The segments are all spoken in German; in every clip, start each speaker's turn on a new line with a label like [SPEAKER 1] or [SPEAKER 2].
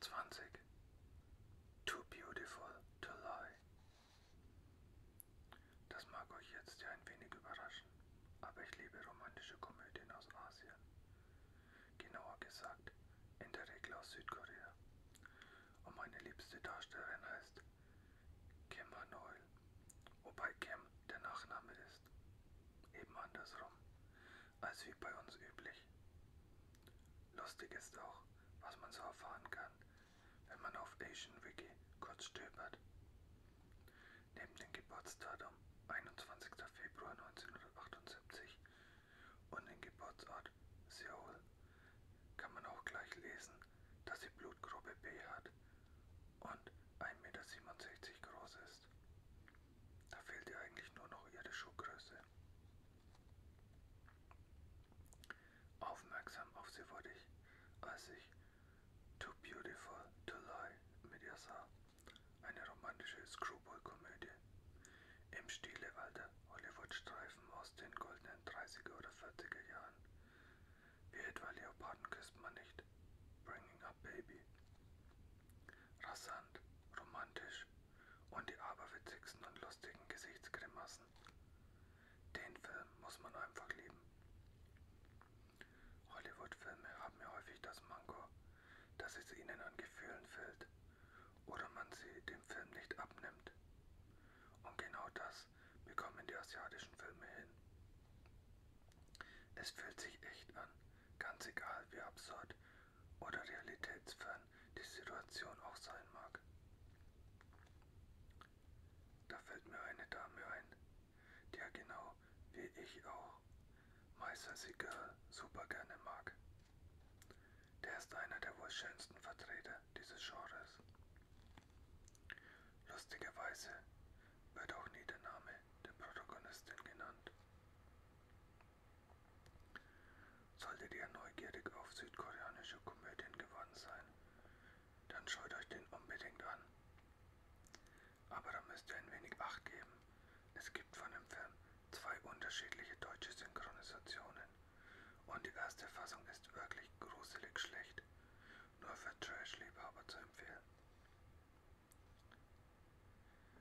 [SPEAKER 1] 20. Too beautiful to lie. Das mag euch jetzt ja ein wenig überraschen, aber ich liebe romantische Komödien aus Asien. Genauer gesagt, in der Regel aus Südkorea. Und meine liebste Darstellerin heißt Kim Hanoil, wobei Kim der Nachname ist. Eben andersrum als wie bei uns üblich. Lustig ist auch, was man so erfahren kann, wenn man auf AsianWiki kurz stöbert. Neben dem Geburtsdatum 21. Februar 1978 und dem Geburtsort Seoul kann man auch gleich lesen, dass sie Blutgruppe B hat und 1,67 Meter groß ist. Da fehlt ihr eigentlich nur noch ihre Schuhgröße. Aufmerksam auf sie wurde ich, als ich Too Beautiful to Lie mit ihr sah. Eine romantische Screwball-Komödie im Stile alter Hollywood-Streifen aus den goldenen 30er oder 40er Jahren. Wie etwa Leoparden küsst man nicht. Bringing Up Baby. Rasant, romantisch, Fleisch und die aberwitzigsten und lustigen Gesichtsgrimassen. Den Film muss man einfach lieben. Hollywood-Filme haben ja häufig das Manko, dass es ihnen an Gefühlen fehlt oder man sie dem Film nicht abnimmt. Und genau das bekommen die asiatischen Filme hin. Es fühlt sich echt an, ganz egal wie absurd oder realitätsfern die Situation auch sein mag. Da fällt mir eine Dame ein, die ja genau wie ich auch Meister Girl super gerne mag. Der ist einer der wohl schönsten Vertreter dieses Genres. Lustigerweise wird auch nie der Name der Protagonistin genannt. Solltet ihr neugierig auf südkoreanische Komödien geworden sein, dann schaut euch den unbedingt an. Aber da müsst ihr ein wenig Acht geben. Es gibt von dem Film zwei unterschiedliche deutsche Synchronisationen. Und die erste Fassung ist wirklich gruselig schlecht. Nur für Trash-Liebhaber zu empfehlen.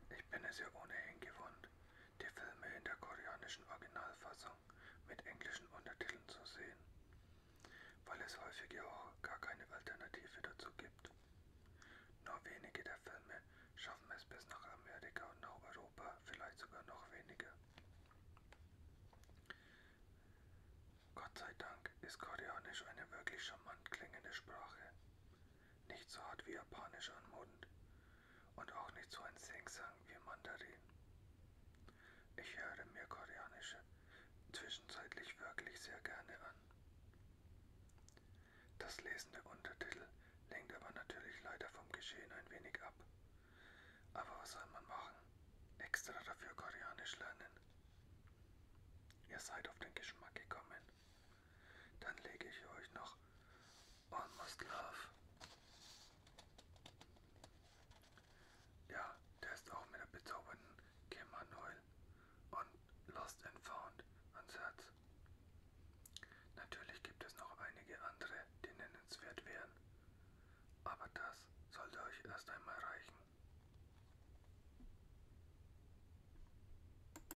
[SPEAKER 1] Ich bin es ja ohnehin gewohnt, die Filme in der koreanischen Originalfassung mit englischen Untertiteln zu sehen, weil es häufig ja auch gar keine Alternative dazu gibt. Nur wenige der Filme schaffen es bis nach Amerika und nach Europa, vielleicht sogar noch weniger. Gott sei Dank ist Koreanisch eine wirklich charmant klingende Sprache nicht so hart wie Japanisch am Mund und auch nicht so ein Singsang wie Mandarin. Ich höre mir koreanische zwischenzeitlich wirklich sehr gerne an. Das Lesen der Untertitel lenkt aber natürlich leider vom Geschehen ein wenig ab. Aber was soll man machen? Extra dafür Koreanisch lernen. Ihr seid auf den Geschmack gekommen. Dann lege ich euch noch Almost Love. Ja, der ist auch mit der bezaubernden Kim Manuel und Lost and Found ans Herz. Natürlich gibt es noch einige andere, die nennenswert wären. Aber das sollte euch erst einmal reichen.